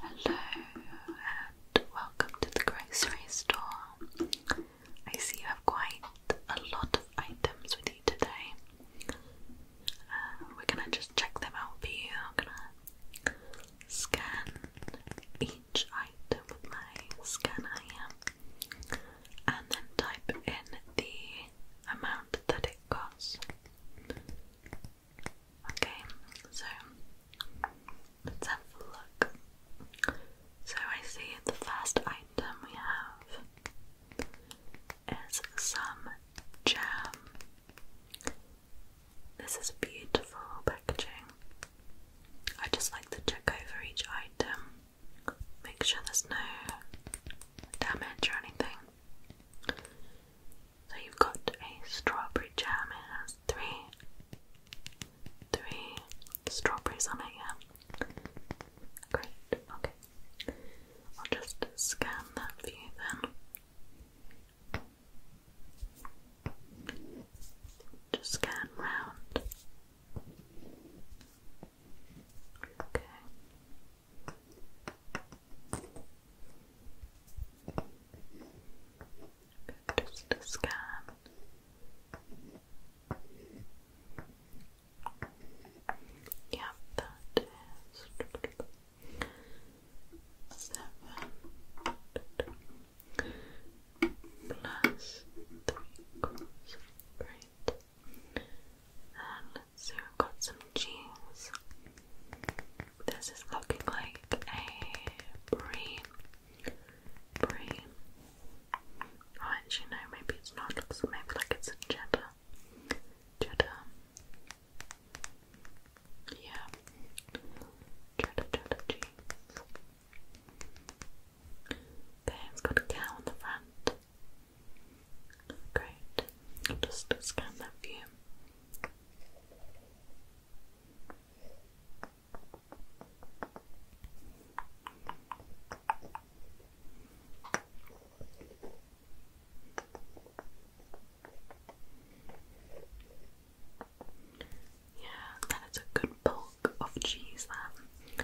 Hello and welcome to the grocery store. I see you have quite a lot of items with you today. Um, we're gonna just check them out for you. I'm gonna scan each item with my scanner and then type in the amount that it costs. Okay, so let's have a look. So I see the first item we have is some jam. This is beautiful packaging. I just like to check over each item, make sure there's no damage or anything. So you've got a strawberry jam. It has three, three strawberries on it. Yeah. Great. Okay. I'll just scan that for you then. Just scan round. Okay. Just a scan. Yeah, that is seven plus three great. And let we got some cheese. This is looking like a brie. Brie. Oh, actually, no, maybe it's not. maybe like it's a cheddar. Cheddar. Yeah. Cheddar, cheddar cheese. Okay, it's got a cow on the front. Great. i just scan that for yeah, that is a good bulk of cheese there.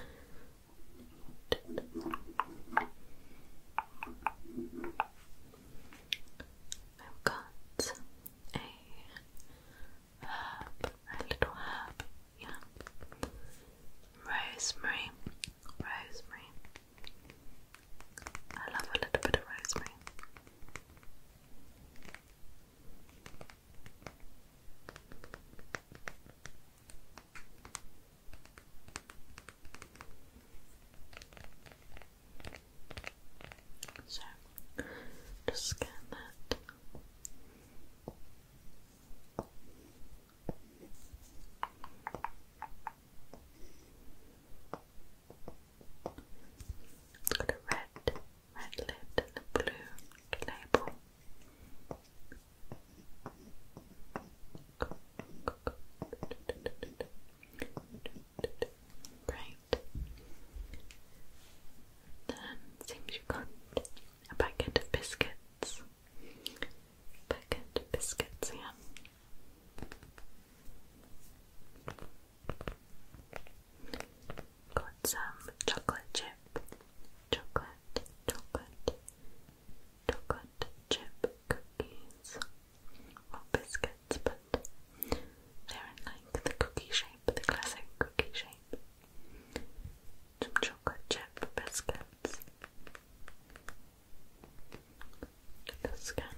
I've got a herb, a little herb, yeah. Rosemary, rosemary. I love a little bit of rosemary. So, just scan that. got a red, red lid and a blue label. Great right. seems you got a packet of biscuits. Packet of biscuits, yeah. Got some chocolate chip. Chocolate, chocolate, chocolate chip cookies. Or biscuits, but they're like the cookie shape, the classic cookie shape. Some chocolate chip biscuits. let Good.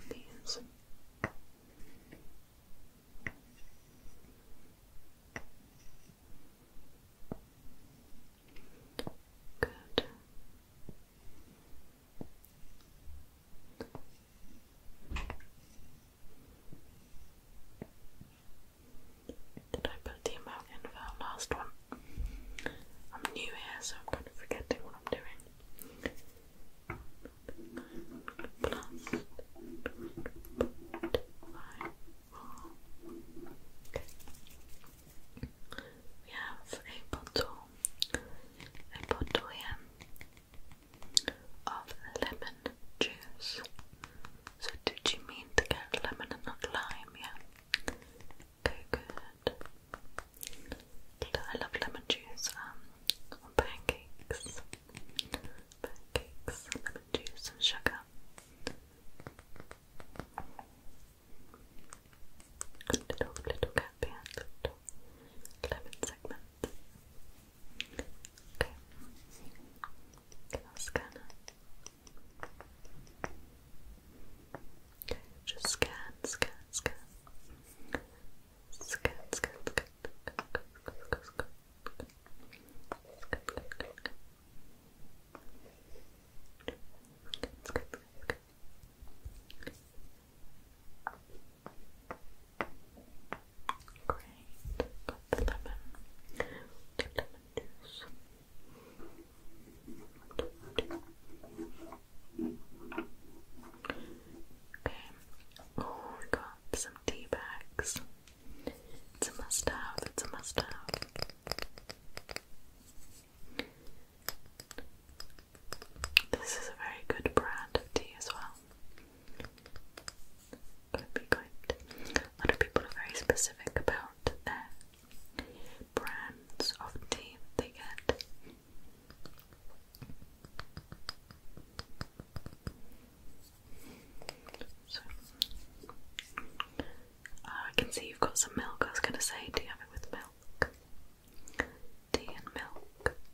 Did I put the amount in for our last one? I'm new here, so I'm kind of forgetting what I'm doing. We have a bottle, a bottle here, of lemon juice. So, did you mean to get lemon and not lime? Yeah. good. I love lemon juice um, on pancakes. Pancakes, lemon juice, and sugar. Good little, little gap here, little lemon segment. Okay. i scan Okay, just scan, scan, scan. Scan, scan, scan. Okay, Great. Got the lemon. The lemon juice. Okay. Oh, we got some tea bags. It's a must have, it's a must have. This is a very good brand of tea as well. Could be good. A lot of people are very specific about their brands of tea they get. So, oh, I can see you've got some milk. I was going to say, do you have it with milk? Tea and milk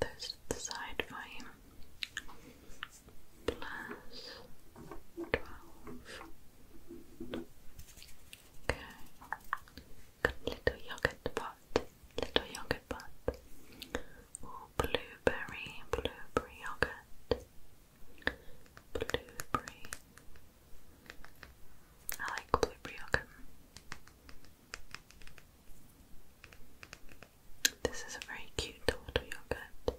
There's plus twelve. Okay. Got little yogurt pot. Little yogurt pot. Ooh, blueberry, blueberry yogurt. Blueberry. I like blueberry yogurt. This is a very cute total yogurt.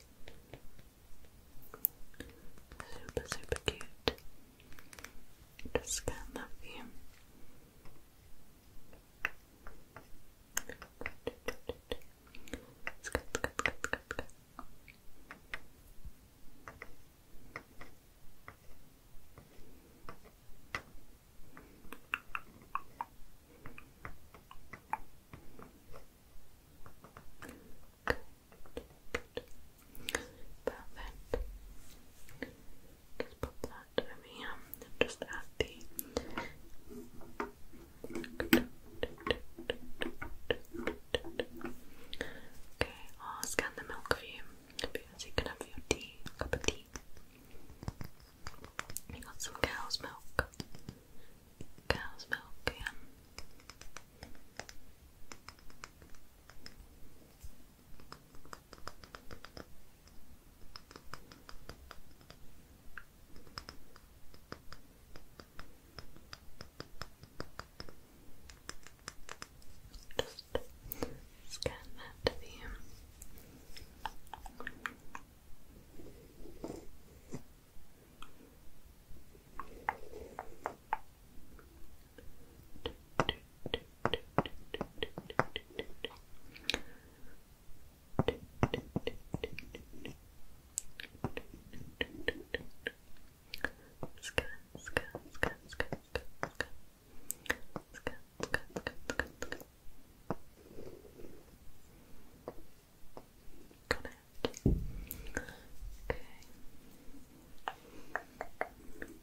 Super, super cute. Just scan that for you. it's good, it's good. Perfect. Just put that over here just add the. Okay, I'll scan the milk for you. Because you can have your tea, cup of tea. You got some cow's milk. Cow's milk, yeah. Just scan that to the scan, scan, scan, scan, scan, scan, scan, scan, scan, Got Okay.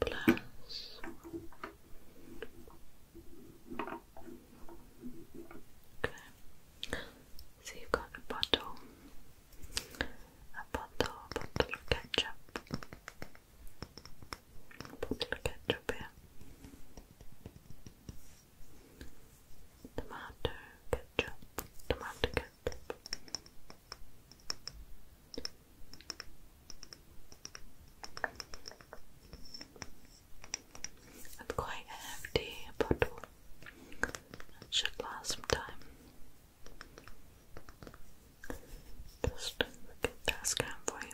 Plus. Okay. So you've got a bottle, a bottle, bottle of ketchup, put the ketchup here. Tomato ketchup, tomato ketchup. That's quite a bottle. That should last some time. Just get that scan for you.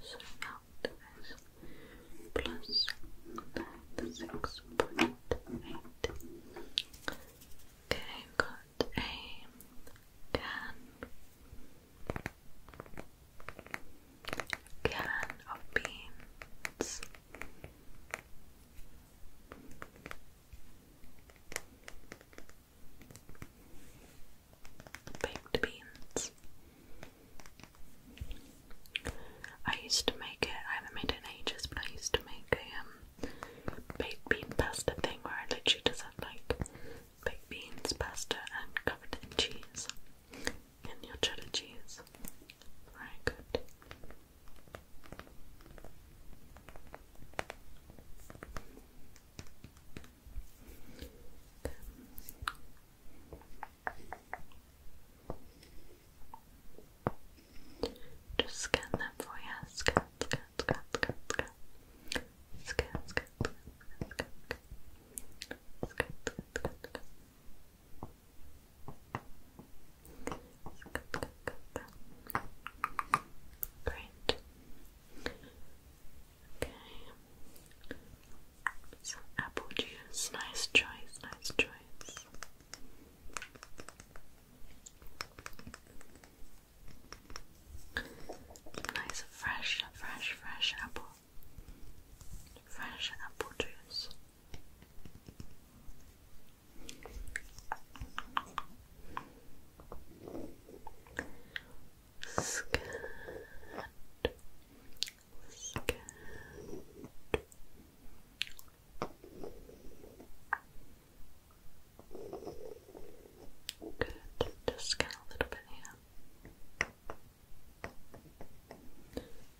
So now it is plus ninety-six point eight. Okay, I've got a can can of beans baked beans. I used to make it, I haven't made it in ages, but I used to make a um, baked bean pasta thing where I literally just like baked beans, pasta, and covered in cheese. And your cheddar cheese. Very good. Just scan that for you. Scan, scan, scan, scan, scan. Scan, scan, scan, scan, scan. Scan, scan, scan, scan. Great. Okay. apple juice. Nice choice, nice choice. Nice fresh, fresh, fresh apple. Fresh apple juice. Scat. Good. Just scan a little bit here.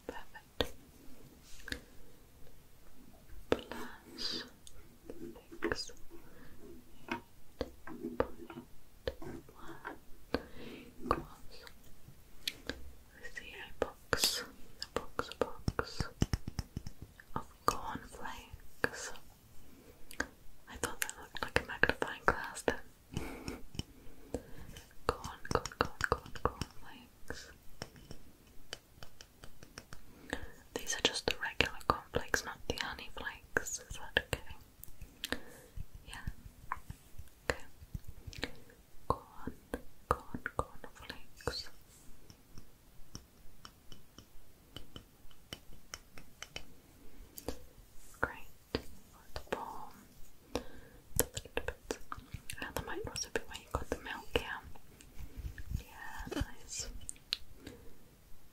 Perfect. Plus six. Eight one equals the box, a box, box of cornflakes. I thought that looked like a magnifying glass then. corn, corn, corn, corn, cornflakes. These are just the regular cornflakes, not the honey flakes. Is that okay? Yeah. Okay. Corn, corn, corn flakes. Great. Got the The little bits. And there might also be where you got the milk here. Yeah, nice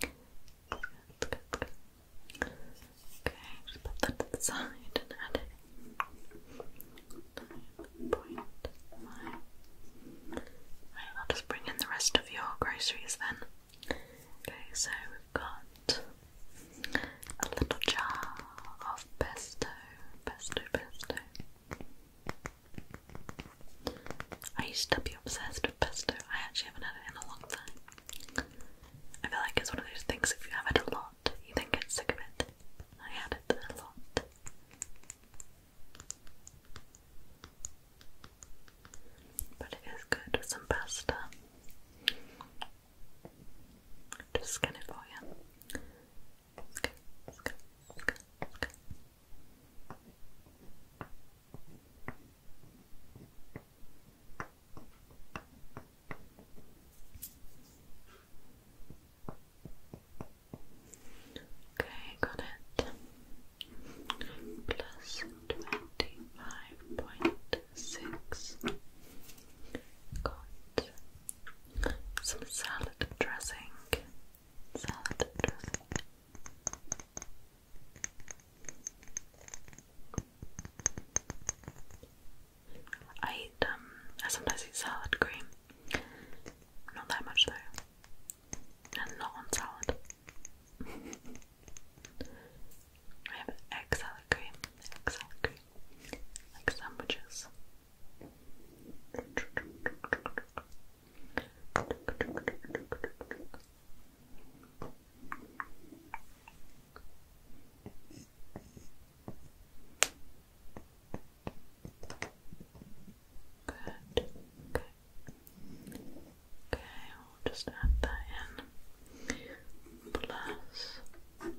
Good, good, good. Okay, just put that to the side and add it. Um, I'll just bring in the rest of your groceries then. Okay, so we've got um, a little jar of pesto, pesto, pesto. I used to be obsessed with pesto. I actually haven't had it in a long time. I feel like it's one of those things if you have it a lot, you then get sick of it. I had it a lot. But it is good with some pasta. Just scan it for you. Scan, scan, scan, scan. Okay, got it. Plus twenty five point six. Got some salad dressing. Salad dressing. I um, I sometimes eat salad cream. Not that much though. And not on salad. I have egg salad cream, egg salad cream. Like sandwiches. Good. Okay. Okay, will just add that in. Plus one.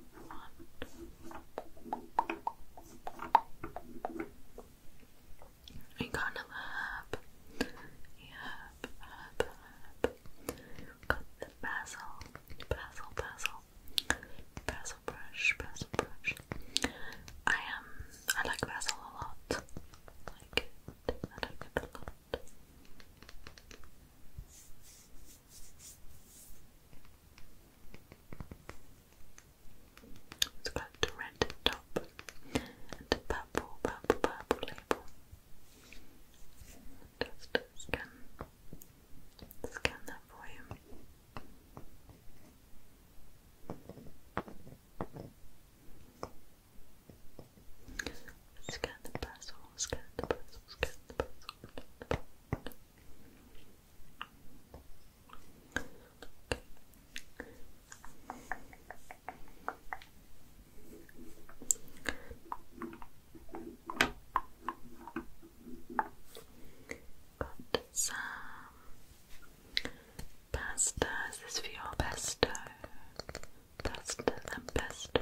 We got a lab. Yeah, got the basil, basil, basil, basil brush, basil brush. I um, I like basil a lot. like it, I like it a lot. It's got the red top and the purple, purple, purple label. Just scan, scan that for you. Scan the puzzle, scan the puzzle, scan the puzzle, Got some pasta. Is for your best. Pasta and pesto.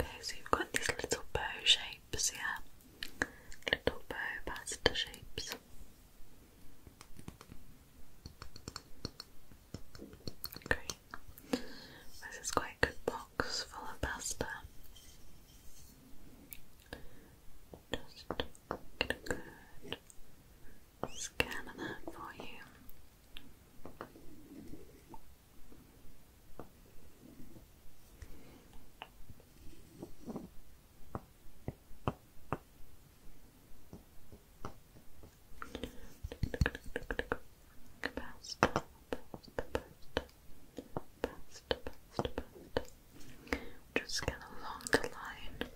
Okay, so you've got these little bow shapes, yeah? Little bow pasta shapes. Great. This is quite a good box full of pasta. Just get a good scan of that for you. Pasta, pasta, Just get along the line.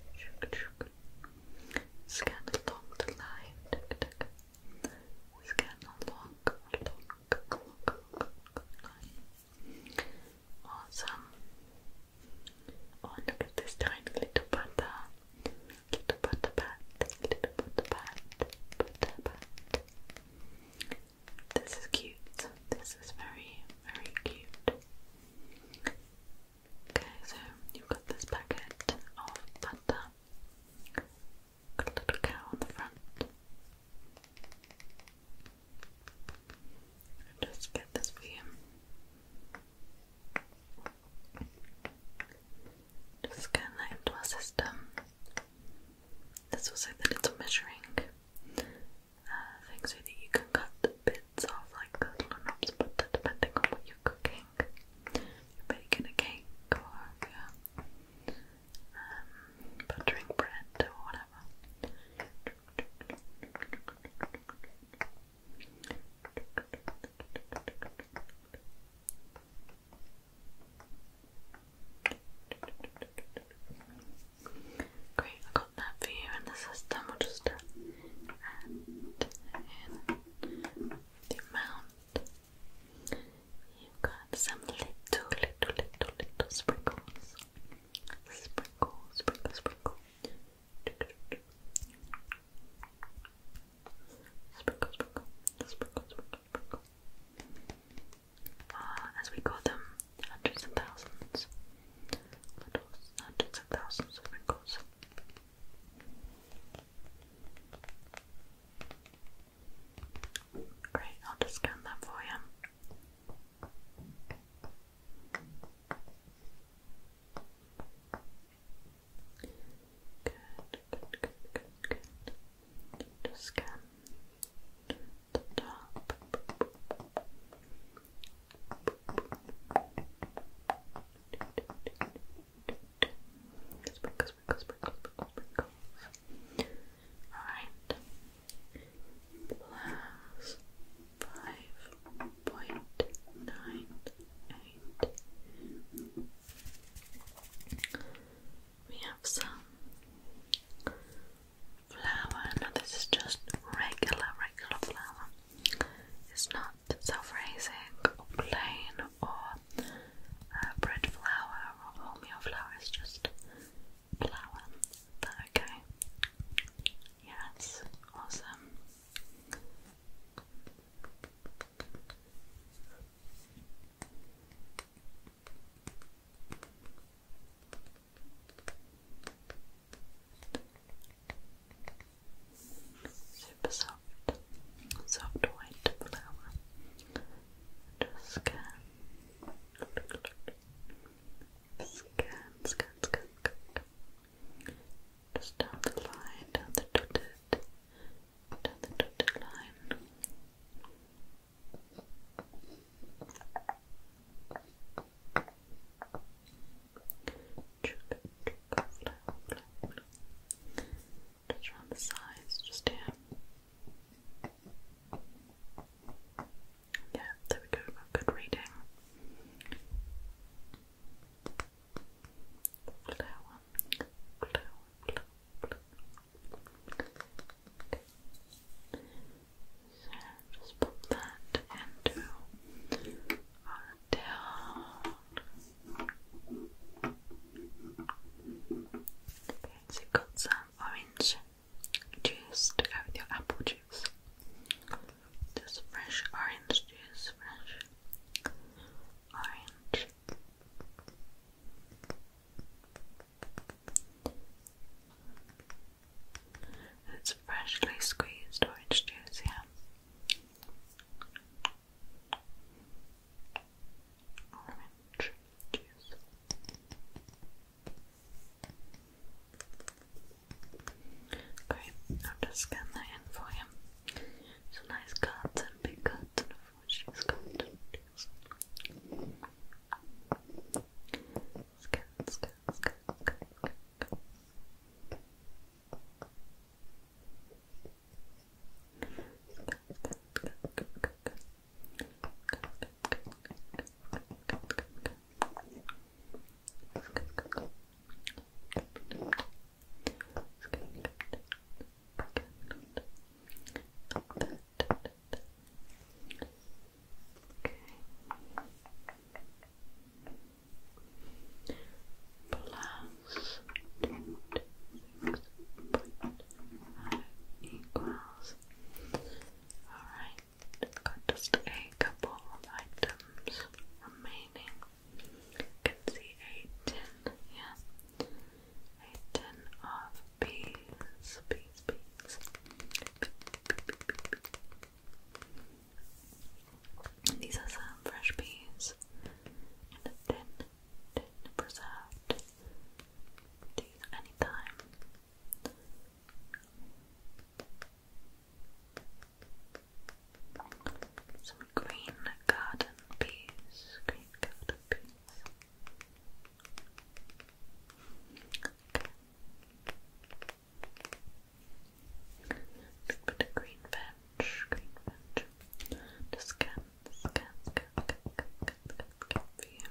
Scan along the line. Scan along, Awesome. Oh, look at this tiny little butter. Little butter bat. Little butter bat. Butter bat. This is cute. This is very, very cute. Okay, so you've got this packet of butter. Got a little cow on the front. just get this for you. Just scan that into our system. There's also the little measuring uh, so that you can cut bits off like the little knobs, but depending on what you're cooking. baking a cake yeah, um, bread or whatever. Great, I got that for you in the system. We'll just uh, add the amount. You've got some little, little, little, little sprinkles. Sprinkle, sprinkle, sprinkle. Sprinkle, sprinkle, sprinkle, sprinkle, sprinkle. Uh, ah, as we call them, hundreds and thousands. Little hundreds of thousands of wrinkles. Great, I'll just count that for you. Good, good, good, good, good. Just scan Alright. Plus five point nine eight. We have some flour. Now this is just regular, regular flour. It's not self-raising or plain or uh, bread flour or wholemeal flour. It's just flower. okay? Yes, awesome. Super soft, soft white flower. Just scan Scan, scan, scan, scan. Just down the line, down the dotted, down the dotted line. Just around the sides, just here. Yeah, there we go, good reading. Flower, flower, flower, flower. Okay. just pop that into our down. Okay, so you got some orange juice to go with your apple juice. Just fresh orange juice, fresh orange. It's freshly squeezed orange juice, yeah. Orange juice. Great, I'll just scan that in for you. Some nice cuts and big cuts, and of course she's got scan, scan, scan, scan, scan. Scan, scan, scan, scan, Plus two six point five equals Alright, got just a couple of items remaining. can see a tin, yeah. A tin of peas, peas, peas. These are some fresh peas and a tin, tin preserved. These anytime. Some green garden peas, green garden peas. Okay. A green veg, green veg. Just scan, scan, scan, scan, scan, scan, scan, scan for you.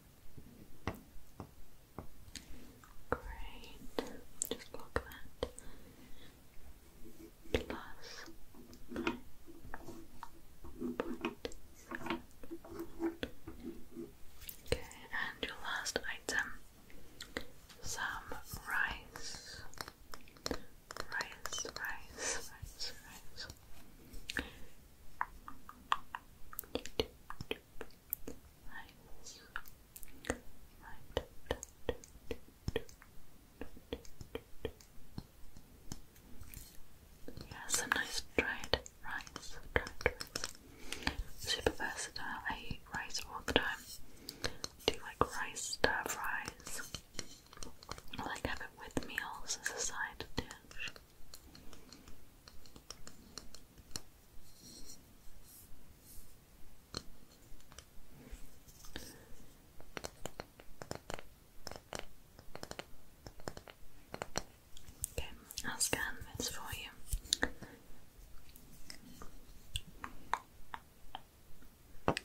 Great. Just block that. Plus nine point seven. Okay, and your last item. Some rice, rice, rice. Nice. Right. nice dried rice. Super versatile. I eat rice all the time. do like rice stir fries. I like have it with meals as a side dish. Okay, I'll scan this for you. Good. Good,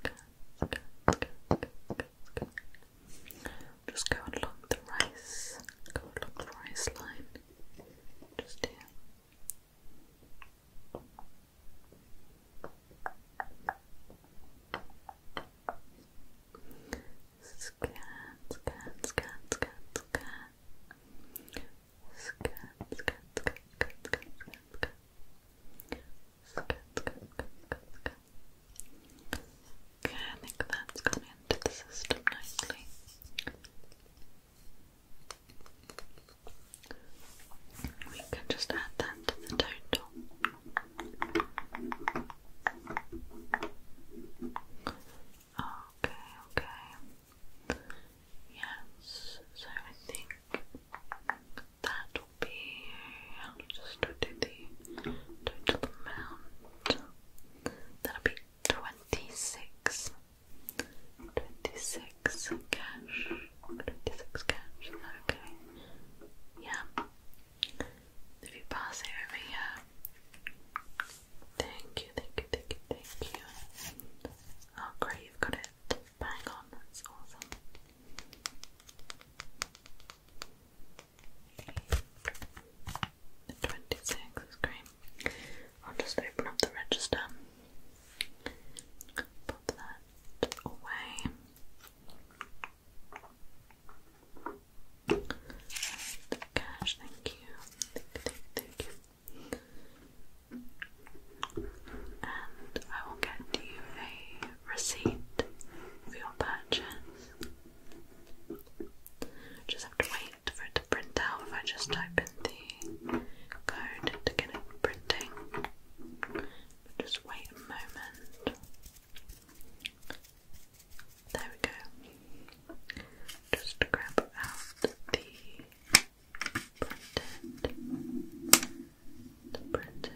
good, good, good, good, good. Just go along the rice, go along the rice line, just here. Scan, scan, scan, scan, scan. Scan, scan, scan, scan, scan, scan, scan. Scan, scan, scan, scan, scan. Okay, I think that's gone into the system nicely. We can just add that to the total. Okay, okay. Yes, so I think that will be. I'll just do the total amount. That'll be 26 cash 26 cash, okay? yeah if you pass it over thank you, thank you, thank you, thank you oh great, you've got it bang on, that's awesome 26 great. I'll just open up the register. Pop that away. cash, thank you. Thank you, thank you. And I will get you a receipt for your purchase. Just have to wait for it to print out if I just type in the code to get it printing. just wait a moment. There we go. Just grab out the printed. The printed.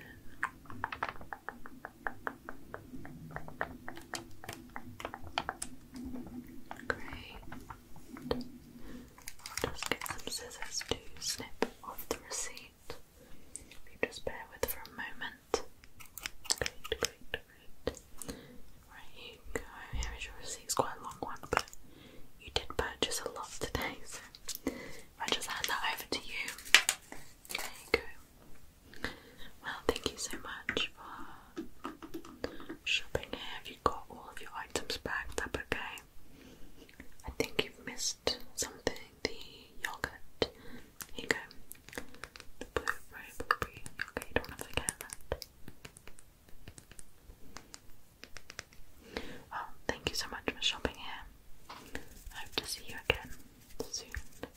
Great. just get some scissors to snip off the receipt. If you just bear with for a moment. Great, great, great. Right, you go. Here is your receipt. quite a long one, but you did purchase a lot today, so i just hand that over to you. There you go. Well, thank you so much for shopping here. Have you got all of your items bagged up okay? I think you've missed something the yogurt. Here you go. The blueberry, yogurt. don't forget that. Well, oh, thank you so much for shopping here. hope to see you again soon.